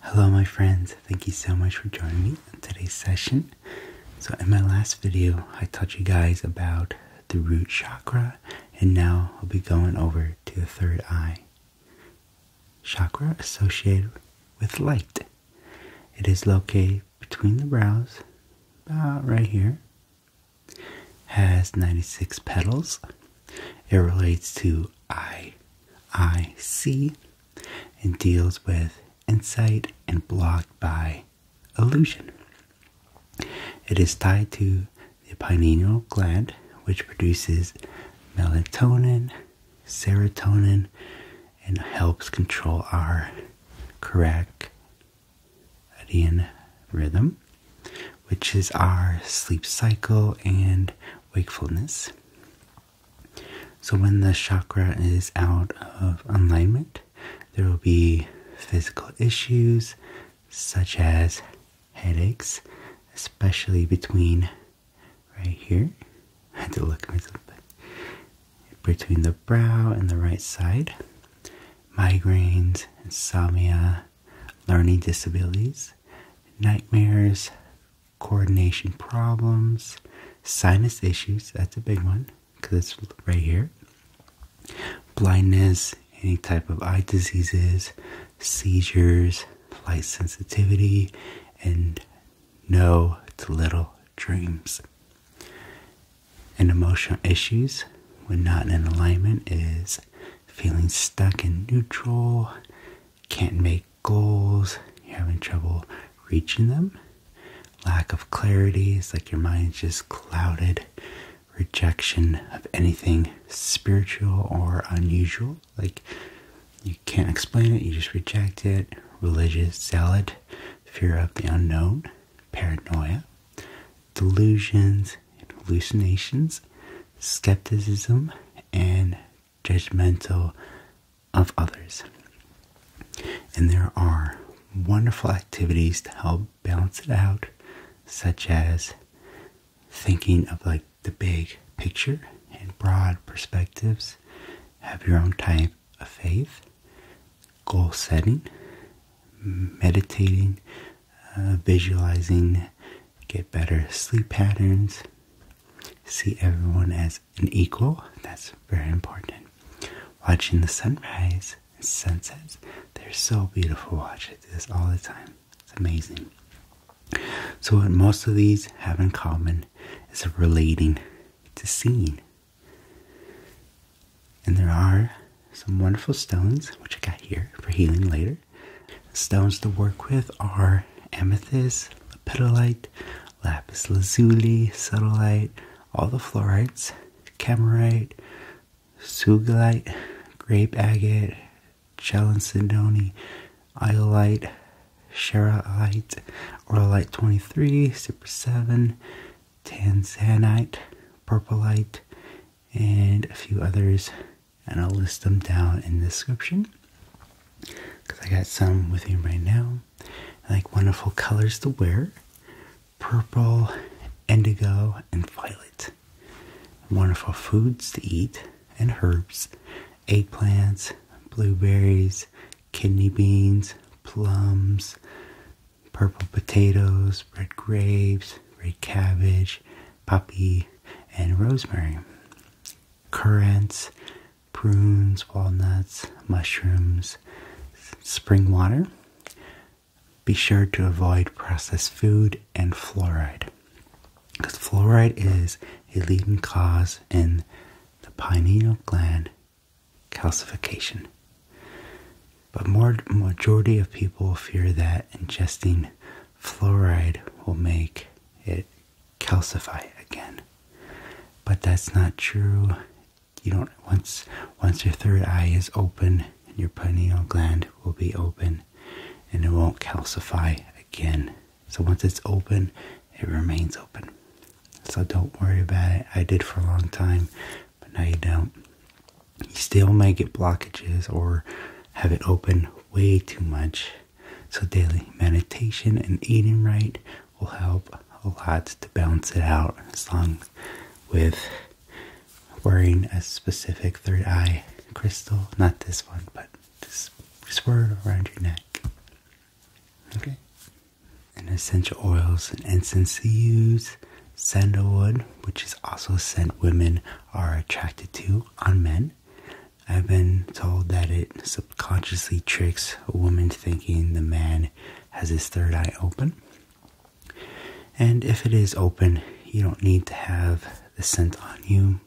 Hello my friends, thank you so much for joining me in today's session. So in my last video, I taught you guys about the root chakra and now I'll be going over to the third eye. Chakra associated with light. It is located between the brows, about right here. Has 96 petals it relates to I, I C, and deals with insight and blocked by illusion. It is tied to the pineal gland, which produces melatonin, serotonin, and helps control our circadian rhythm, which is our sleep cycle and wakefulness. So, when the chakra is out of alignment, there will be physical issues such as headaches, especially between right here. had to look Between the brow and the right side, migraines, insomnia, learning disabilities, nightmares, coordination problems, sinus issues, that's a big one because it's right here, blindness, any type of eye diseases, seizures, light sensitivity, and no to little dreams. And emotional issues when not in alignment is feeling stuck in neutral, can't make goals, you're having trouble reaching them, lack of clarity, it's like your mind's just clouded, rejection of anything spiritual or unusual, like you can't explain it, you just reject it, religious zealot, fear of the unknown, paranoia, delusions, and hallucinations, skepticism and judgmental of others. And there are wonderful activities to help balance it out, such as thinking of like the big picture and broad perspectives, have your own type of faith, goal setting, meditating, uh, visualizing, get better sleep patterns, see everyone as an equal. That's very important. Watching the sunrise and sunsets, they're so beautiful. Watch it. do this all the time. It's amazing. So what most of these have in common is relating to seeing. And there are some wonderful stones, which I got here for healing later. Stones to work with are amethyst, lepidolite, lapis lazuli, sodalite, all the fluorites, camerite, sugilite, grape agate, chalcedony, iolite, sherrolite, orolite 23, super 7, tanzanite, purpleite, and a few others and I'll list them down in the description because I got some with me right now. like wonderful colors to wear purple, indigo, and violet. Wonderful foods to eat and herbs eggplants, blueberries, kidney beans, plums, purple potatoes, red grapes, red cabbage, Puppy and rosemary. Currants, prunes, walnuts, mushrooms, spring water. Be sure to avoid processed food and fluoride because fluoride is a leading cause in the pineal gland calcification. But more majority of people fear that ingesting fluoride will make it calcify again. But that's not true. You don't once once your third eye is open, your pineal gland will be open and it won't calcify again. So once it's open, it remains open. So don't worry about it. I did for a long time, but now you don't you still might get blockages or have it open way too much. So, daily meditation and eating right will help a lot to balance it out, as long with wearing a specific third eye crystal. Not this one, but just wear it around your neck. Okay. And essential oils and incense to use sandalwood, which is also a scent women are attracted to on men. I've been told that it subconsciously tricks a woman thinking the man has his third eye open. And if it is open, you don't need to have the scent on you.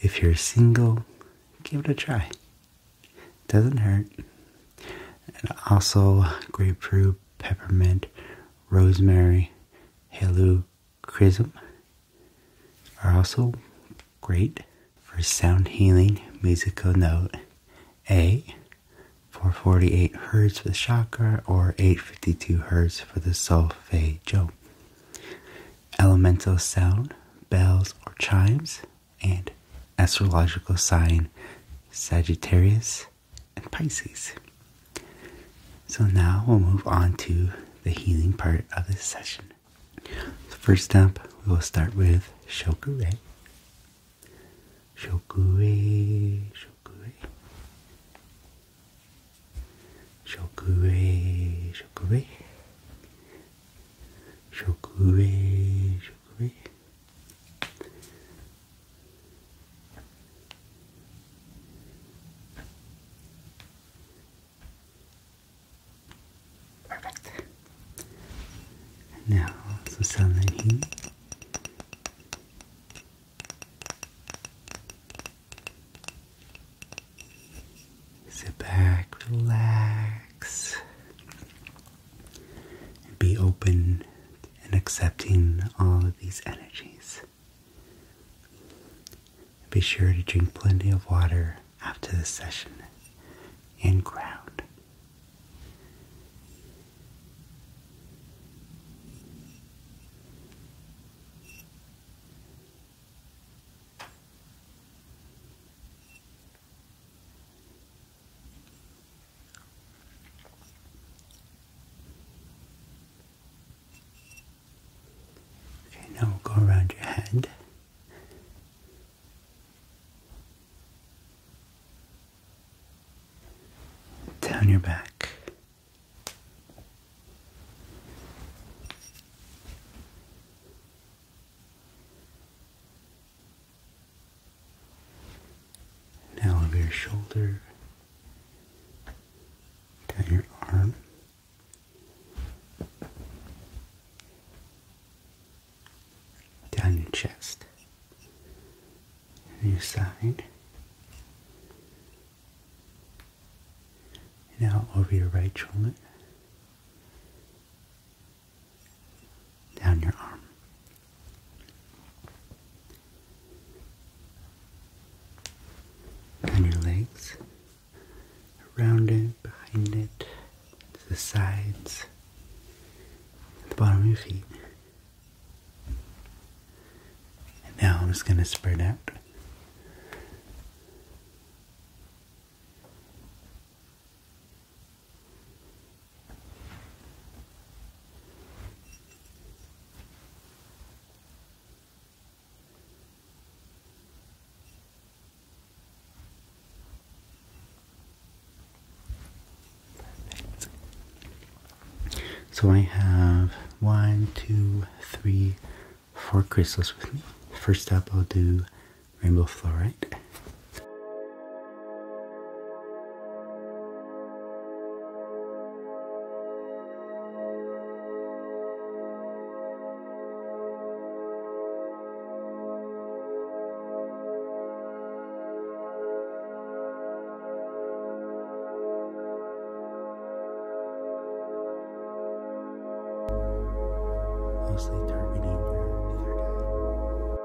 If you're single, give it a try. Doesn't hurt. And also grapefruit, peppermint, rosemary, heluchrism are also great for sound healing musical note A 448 hertz for the chakra or 852 hertz for the solfeggio. Elemental sound, bells or chimes, and astrological sign Sagittarius and Pisces. So now we'll move on to the healing part of this session. So first up, we will start with Shokure. Shokure, Shokure. Shokure, Shokure. Shokure, Shokure. Perfect. And now some sunlighting. Sit back, relax, and be open and accepting all of these energies. Be sure to drink plenty of water after the session and ground. Okay, now we'll go around your head. Down your back. Now over your shoulder, down your arm, down your chest, and your side. Now over your right shoulder, down your arm. Down your legs, around it, behind it, to the sides, the bottom of your feet. And now I'm just going to spread out. So I have one, two, three, four crystals with me. First up, I'll do rainbow fluorite mostly targeting your third eye.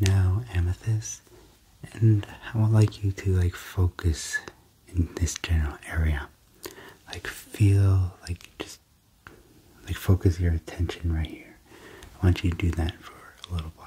now amethyst and I would like you to like focus in this general area like feel like just like focus your attention right here I want you to do that for a little while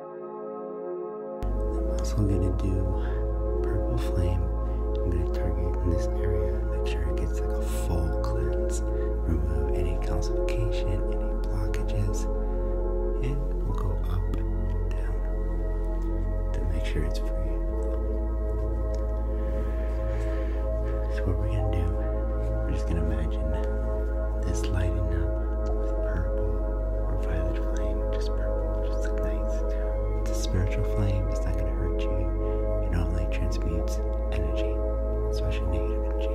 I'm also gonna do purple flame. I'm gonna target in this area, make sure it gets like a full cleanse. Remove any calcification, any blockages, and we'll go up down to make sure it's free. So what we're gonna do, we're just gonna imagine this lighting up with purple or violet flame, just purple, just like It's a spiritual flame, it's not gonna hurt you. It only transmutes energy, especially negative energy.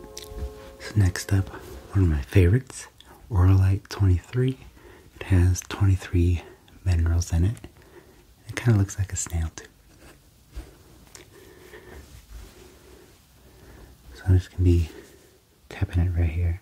So next up, one of my favorites, Oralite 23. It has 23 minerals in it. It kind of looks like a snail too. So I'm just going to be tapping it right here.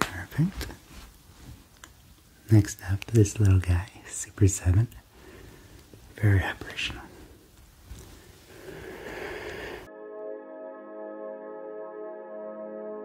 Perfect. Next up, this little guy, Super 7. Very operational.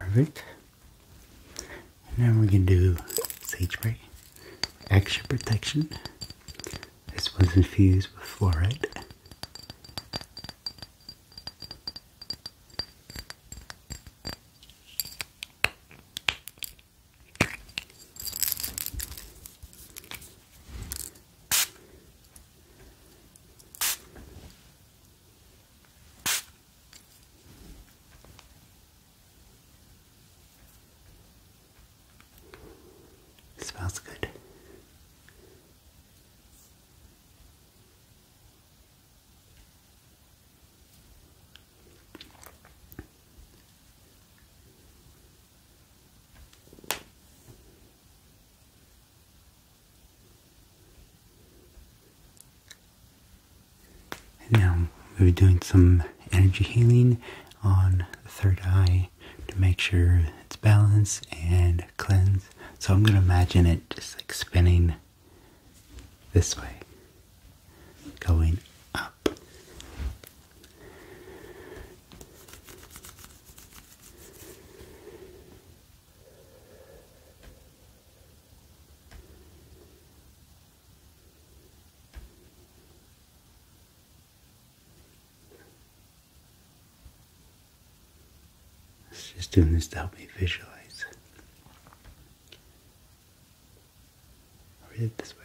Perfect. Now we can do sage spray, extra protection, this was infused with fluoride smells good. now we're doing some energy healing on the third eye to make sure it's balanced and cleansed. So I'm gonna imagine it just like spinning this way, going up. I was just doing this to help me visualize. i read it this way.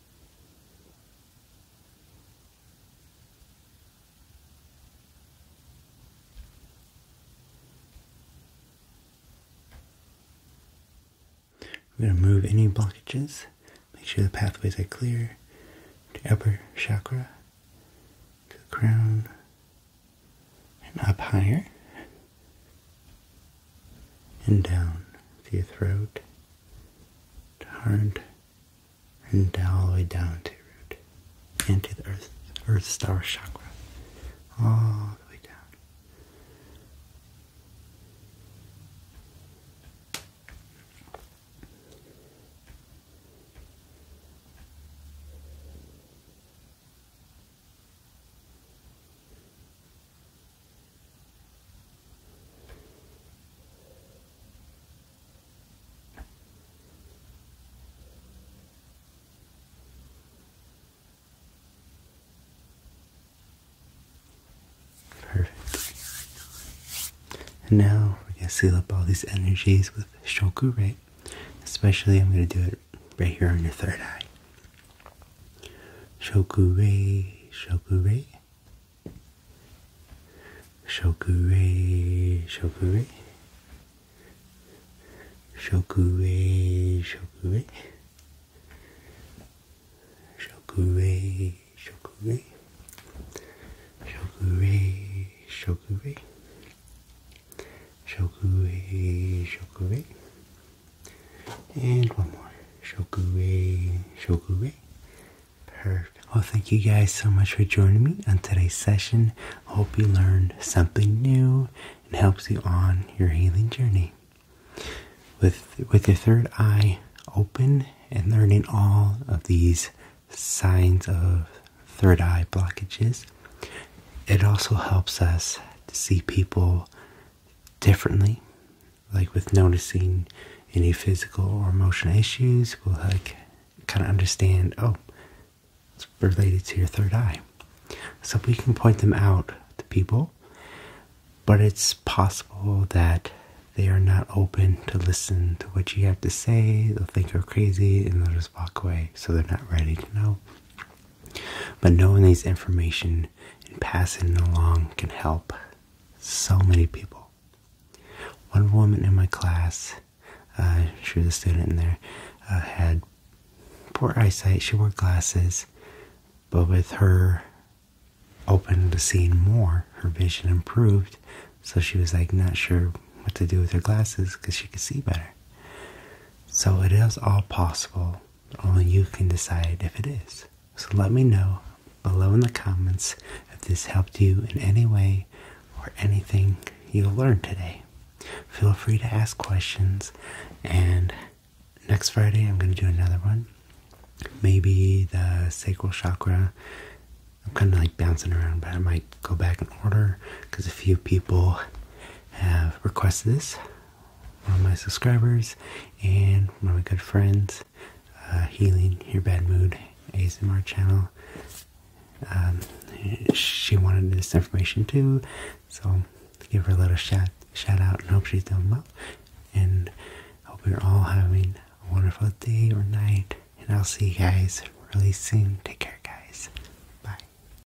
We're going to remove any blockages, make sure the pathways are clear to upper chakra, to the crown, and up higher and down through your throat to heart and all the way down to your root into the earth, earth star chakra. All the way down. Perfect. now we're going to seal up all these energies with Shoku, right? Especially, I'm going to do it right here on your third eye. Shokure, Shokure, Shokure, Shokure, Shokure, Shokure, Shokure, Shokure, Shokure, Shokure, Shokure, Shokure, and one more. Shokure, shokure. Perfect. Well, thank you guys so much for joining me on today's session. I hope you learned something new and helps you on your healing journey. With with your third eye open and learning all of these signs of third eye blockages, it also helps us to see people differently. Like with noticing any physical or emotional issues, we'll like kind of understand, oh, it's related to your third eye. So we can point them out to people, but it's possible that they are not open to listen to what you have to say. They'll think you're crazy and they'll just walk away. So they're not ready to know. But knowing these information and passing it along can help so many people. One woman in my class, uh, she was a student in there, uh, had poor eyesight. She wore glasses, but with her open to seeing more, her vision improved. So she was like not sure what to do with her glasses because she could see better. So it is all possible only you can decide if it is. So let me know below in the comments if this helped you in any way or anything you learned today. Feel free to ask questions and next Friday I'm going to do another one. Maybe the sacral chakra. I'm kind of like bouncing around, but I might go back in order because a few people have requested this my subscribers and my good friends, uh, Healing Your Bad Mood ASMR channel. Um, she wanted this information too, so give her a little shout, shout out and hope she's doing well. And hope you're all having a wonderful day or night. And I'll see you guys really soon. Take care, guys. Bye.